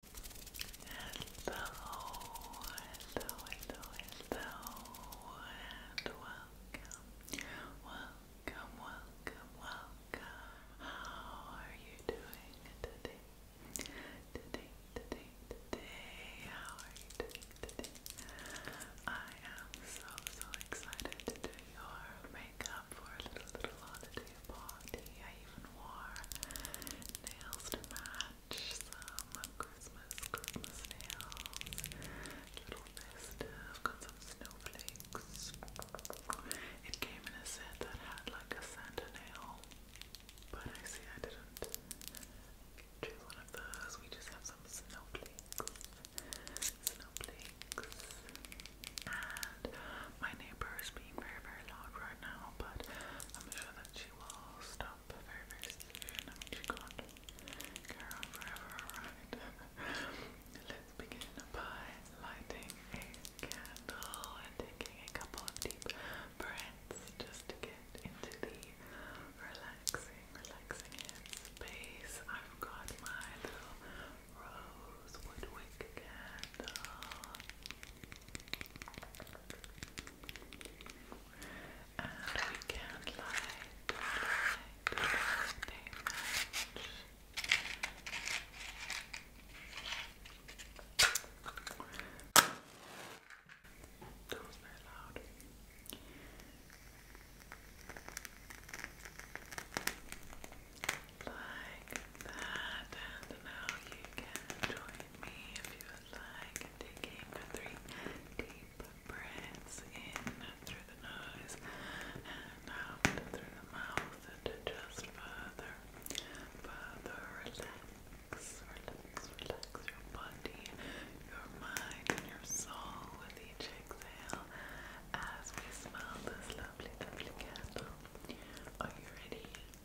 Hello, hello, hello, hello, and welcome, welcome, welcome, welcome. How are you doing today? Today, today, today, how are you doing today? I am so, so excited to do your makeup for a little, little holiday to your I even wore nails to match some Christmas, Christmas nails. Little list got some snowflakes. It came in a set that had like a Santa nail, but I see I didn't choose one of those. We just have some snowflakes. Snowflakes. My neighbor is being very, very loud right now, but I'm sure that she will stop very, very soon. I mean, she can't forever, right? Let's begin by lighting a candle and taking a couple of deep breaths just to get into the relaxing, relaxing headspace. I've got my little rosewood wick candle. And we can light, light, light a match. That was very loud like that. And now you can join me if you would like, taking three deep breaths in through the nose and out through the mouth to just further, further relax, relax, relax your body, your mind, and your soul with each exhale as we smell this lovely, lovely candle. Are you ready?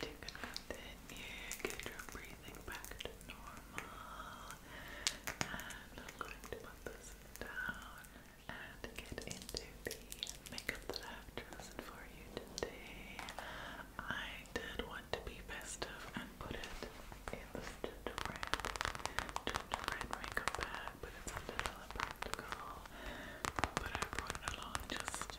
Take a breath in here, get your breathing back to normal. And I'm going to put this down and get into the makeup that I've chosen for you today. I did want to be festive and put it in this gingerbread, gingerbread makeup bag, but it's a little impractical. But I brought along just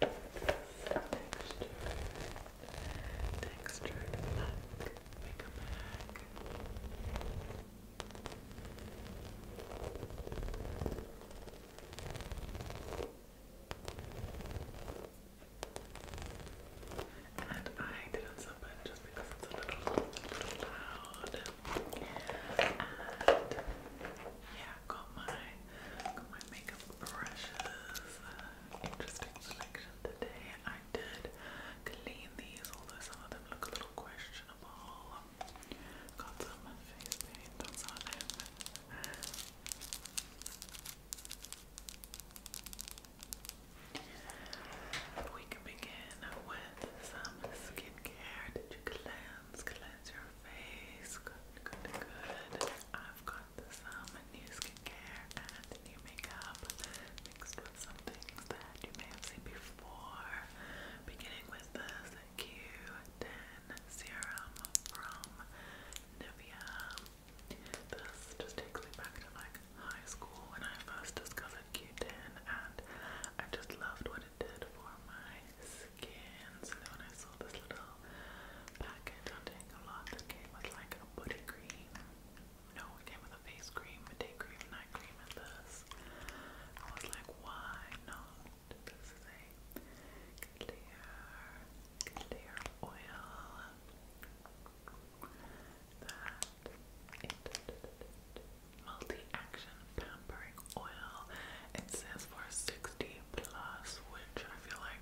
texture, texture, look, make a bag. And I did on something just because it's a little, little loud. And yeah, got my got my makeup brushes. Uh, interesting selection today. I did clean these, although some of them look a little questionable. Got some face paint on them. We can begin with some skincare. Did you cleanse? Cleanse your face. Good, good, good. I've got with some new skincare and new makeup mixed with some things that you may have seen before. Beginning with this Q10 serum from Nivea. This just takes me back to like high school when I first discovered Q10 and I just loved what it did for my skin. So then when I saw this little packet Untangle that came with like a booty cream. No, it came with a face cream, a day cream, night cream, and this. I was like, why not? clear, clear oil that it, multi-action pampering oil. It says for 60 plus, which I feel like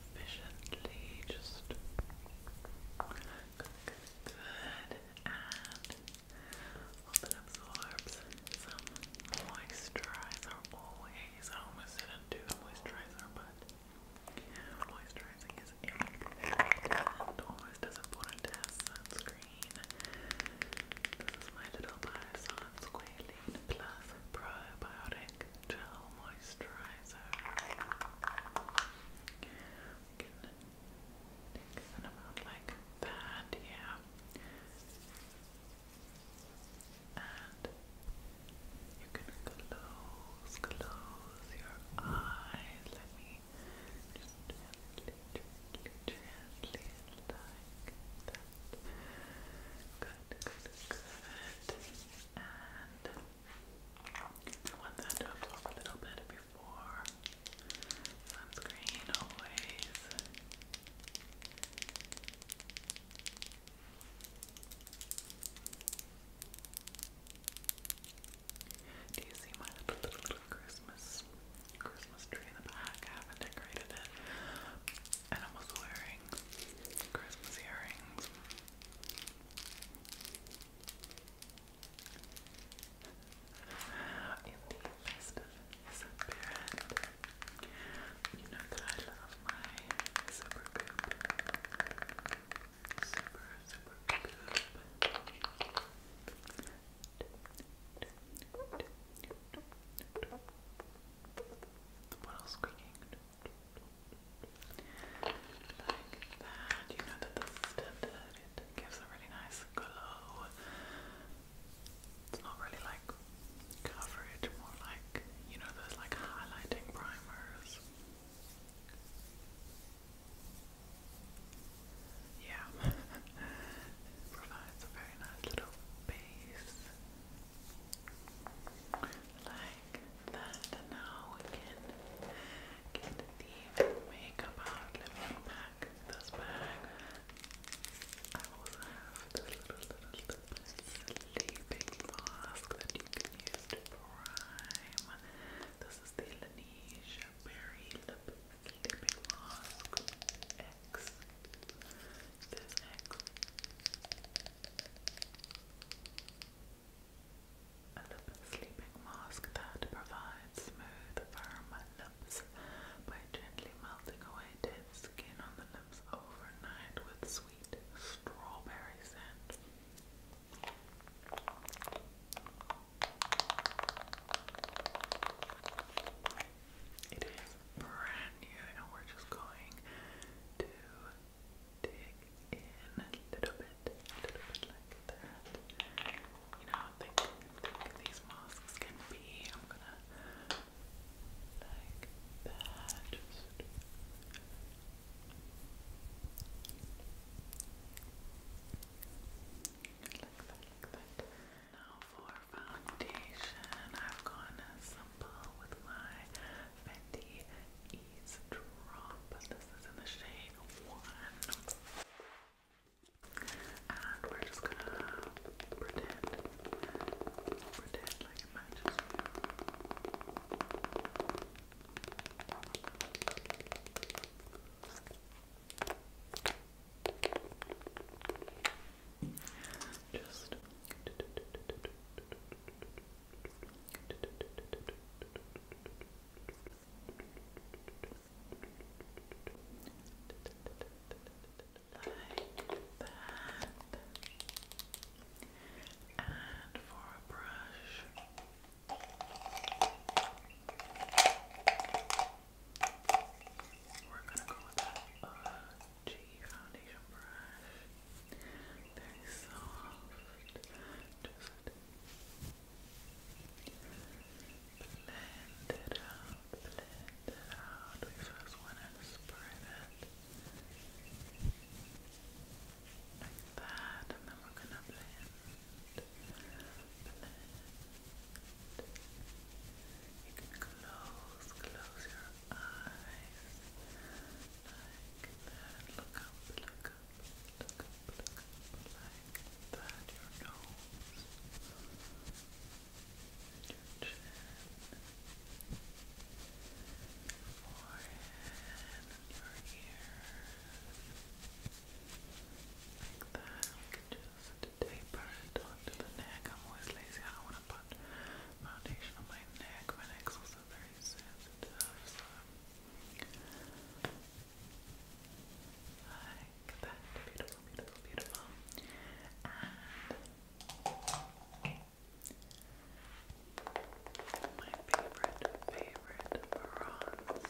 efficiently. Just good, And hope it absorbs some moisturizer. Always, I almost didn't do the moisturizer, but moisturizing is important. Always important to have sunscreen. This is my little Biosan Squalene Plus Probiotic. Stick Moisturizer. We can like that, yeah. And you can close, close your eyes. Let me just gently, gently, gently, like that. Good, good, good. And I want that to absorb a little bit before sunscreen always. Do you see my little, little, little Christmas Christmas tree in the back? I haven't decorated it. And I was wearing Christmas earrings. In the list of disappearance, you know that I love my super goop. Super, super goop. The bottle squeaking. Like that. You know that this It gives a really nice glow. It's not really like coverage, more like you know those like highlighting primers. Yeah, provides a very nice little base. Like that now we can get the makeup out. Let me unpack this bag. I also have the little sleeping mask that you can use to prime. This is the Laneige Berry Lip Sleeping Mask X. This X. A lip sleeping mask that provides smooth, firm lips by gently melting away dead skin on the lips overnight with sweet strawberry scent. It is brand new, and we're just going to dig in a little bit, little bit like that. You know, I think, these masks can be. I'm gonna like that. Just like that, like that. Now for foundation, I've gone simple with my Fenty Please Drop. This is in the shade one. And we're just gonna pretend, pretend like it matches. Just. Like that. And for a brush, we're gonna go with that uh, G foundation brush very soft. Just blend it out, blend it out. We first want to spread it like that, and then we're gonna blend, blend. You can close, close your eyes like that. Look up, look up, look up, look up, like that. Your nose, your chin, forehead, your ears, like that. just taper it onto the neck. I'm always lazy. I want to put foundation on my neck. My neck's also very sensitive, so like that, beautiful, beautiful, beautiful and my favorite, favorite bronzer favorite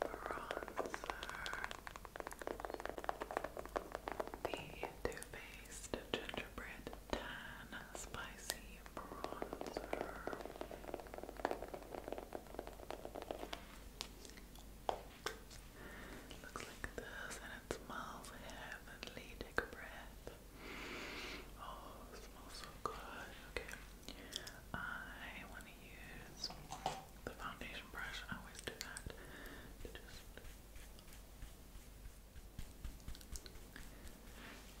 bronzer the too Faced Gingerbread Tan Spicy Bronzer. Looks like this, and oh, it smells heavenly. Take Oh, smells so good. Okay, I want to use the foundation brush. I always do that. To just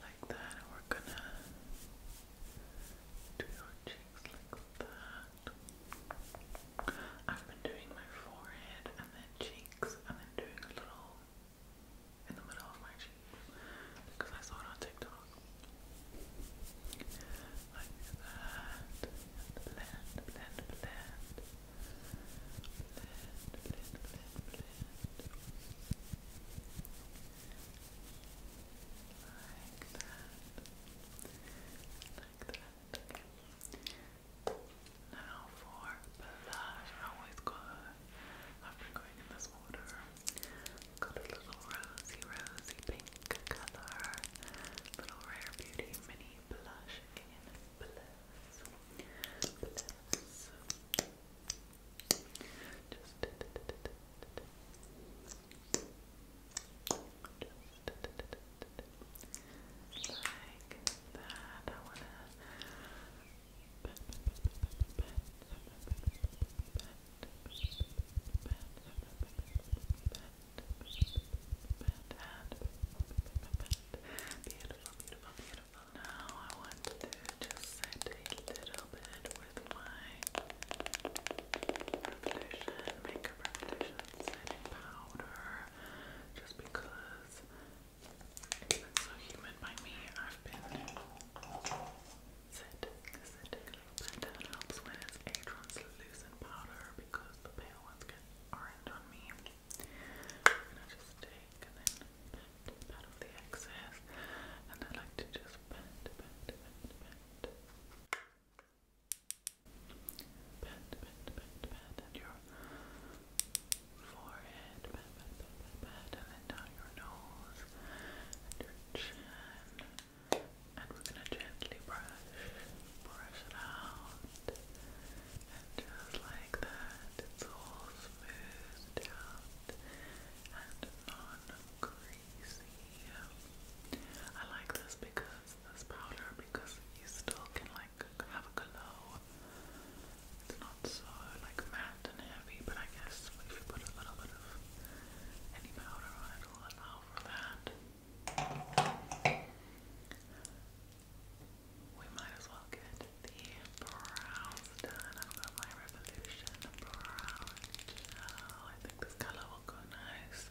like that, and we're gonna do your cheeks like that. I've been doing my forehead and then cheeks, and then doing a little in the middle of my cheeks because I saw it on TikTok. Like that. Blend, blend, blend. Blend, blend, blend, blend. Like Now for blush. I always go, I've going in this order. Got a little rosy, rosy pink color. Little Rare Beauty mini blush in let's just just like that. I wanna Beautiful, beautiful, beautiful. Now I want to just set a little bit with my Revolution, Makeup Revolution setting powder just because it's so humid by me. I've been setting, setting a helps when it's a translucent powder because the pale ones get orange on me. And I just take and then pat, off the excess. And I like to just pat, pat, pat, pat. Pat, pat, pat, pat, and your forehead, pat, pat, pat, pat, and then down your nose your chin. And we're gonna gently brush, brush it out. And just like that, it's all smoothed out and non-greasy. I like this because this powder, because you still can like have a glow. It's not so like matte and heavy, but I guess if you put a little bit of any powder on it, it'll for that. We might as well get the brows done. I've my Revolution brow I think this color will go nice.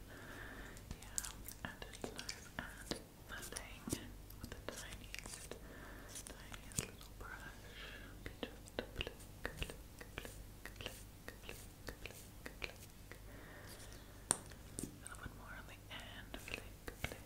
Yeah, and it's nice and filling with the tiniest, tiniest little brush. Just click, click, click, click, click, click, click, click. A little bit more on the end. Click, click,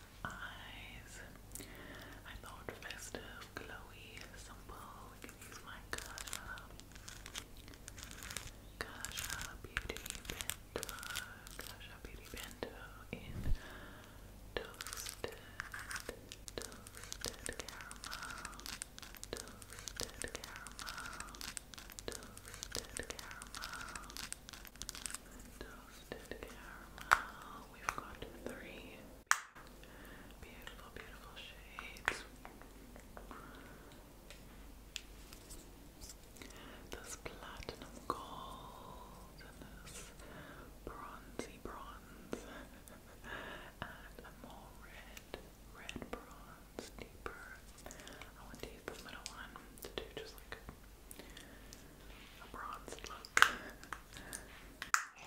eyes. I thought festive, glowy, simple. We can use my Kasha, Kasha Beauty Bento, Kasha Beauty Bento in toasted, toasted caramel, toasted caramel, toasted caramel. Toasted caramel, Toasted caramel. We've got three beautiful, beautiful shades. This platinum gold and this bronzy bronze and a more red, red bronze deeper. I want to use this middle one to do just like a bronze look.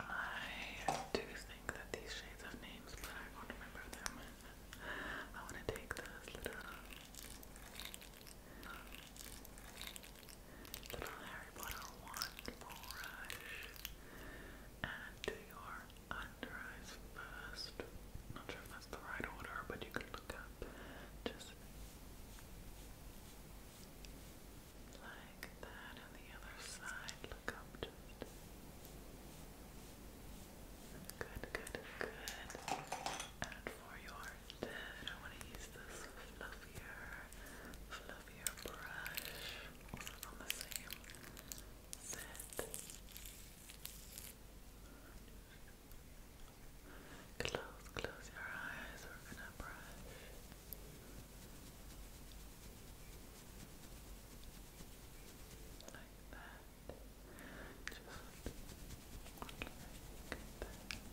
I do think that these shades have names, but I won't remember them. I want to take this little, Harry Potter wand brush and do your under eyes first. Not sure if that's the right order, but you can look at just like that, and the other side, look up just good, good, good and for your head, I want to use this fluffier, fluffier brush on the same set Close, close your eyes. We're gonna brush. Like that. Just like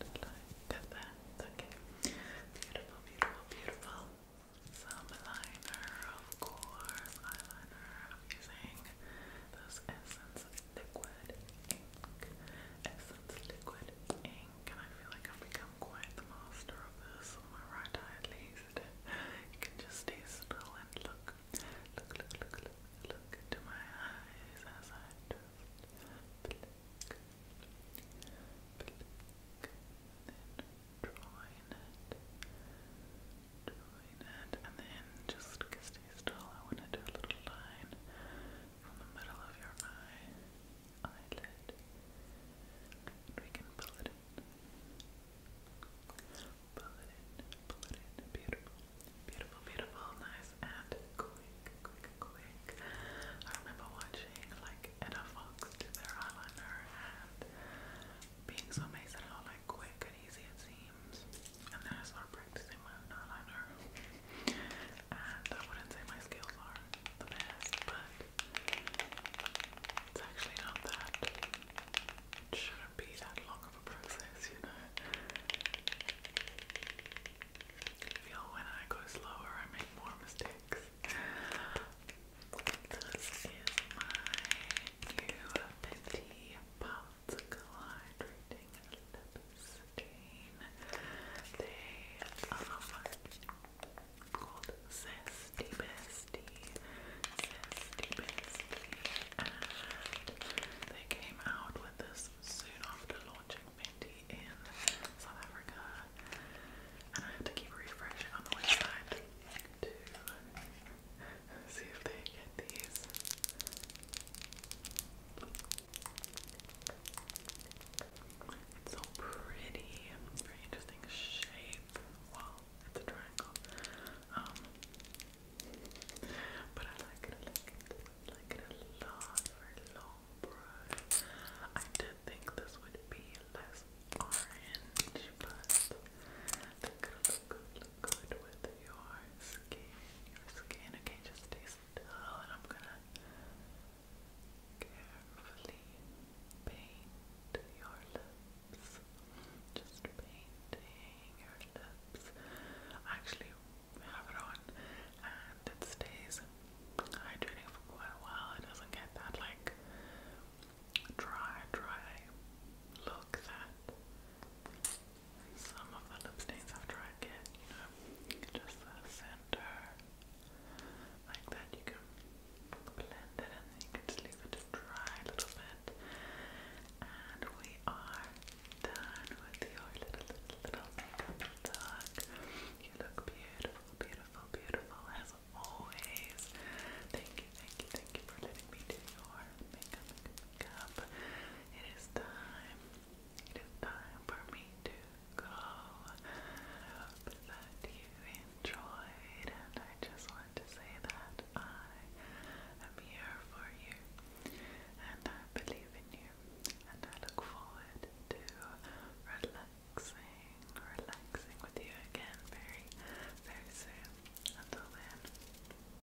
that. Like that. Okay. Beautiful, beautiful, beautiful. Some liner, of course. Eyeliner. I'm using this Essence Liquid ink, essence liquid ink, and I feel like I've become quite the master of this my right eye at least. You can just stay still and look, look, look, look, look, look into my eyes as I just blink, blink, and then draw in it, draw in it, and then just kiss stay still. I want to do a little line from the middle of your eye, eyelid. We can pull it in. it in, it Beautiful, beautiful, beautiful. Nice and quick, quick, quick. I remember watching like Edda Fox do their eyeliner and being so amazed at how like quick and easy it seems. And then I started practicing my eyeliner. And I wouldn't say my skills are the best, but it's actually not that. shouldn't be that long of a process, you know. I feel when I go slower, I make more mistakes. This is my new Puff clouds collide, reading lips chain. They are called Zesty Bestie, Zesty Bestie, and they came out with this soon after launching Minty in South Africa, and I have to keep refreshing on the website see if they get these. It's so pretty. Very interesting shape. Well, it's a triangle. Um, but I like it. I like it. I like it a lot for long brush. I did think this would be less orange, but it'll look good, look good with your skin, your skin. Okay, just stay still, and I'm gonna carefully paint your lips. Just painting your lips. I actually have it on, and it stays hydrating for quite a while. It doesn't get that like dry, dry look that some of the lip stains I've tried get, you know, just the center like that. You can blend it and you can just leave it to dry a little bit. And we are done with your little, little, makeup look. You look beautiful, beautiful, beautiful as always. Thank you, thank you, thank you for letting me do your makeup. It is time. It is time for me to go. I hope that you enjoyed, and I just want to say that I am here for you, and I believe in you, and I look forward to relaxing, relaxing with you again very, very soon. Until then,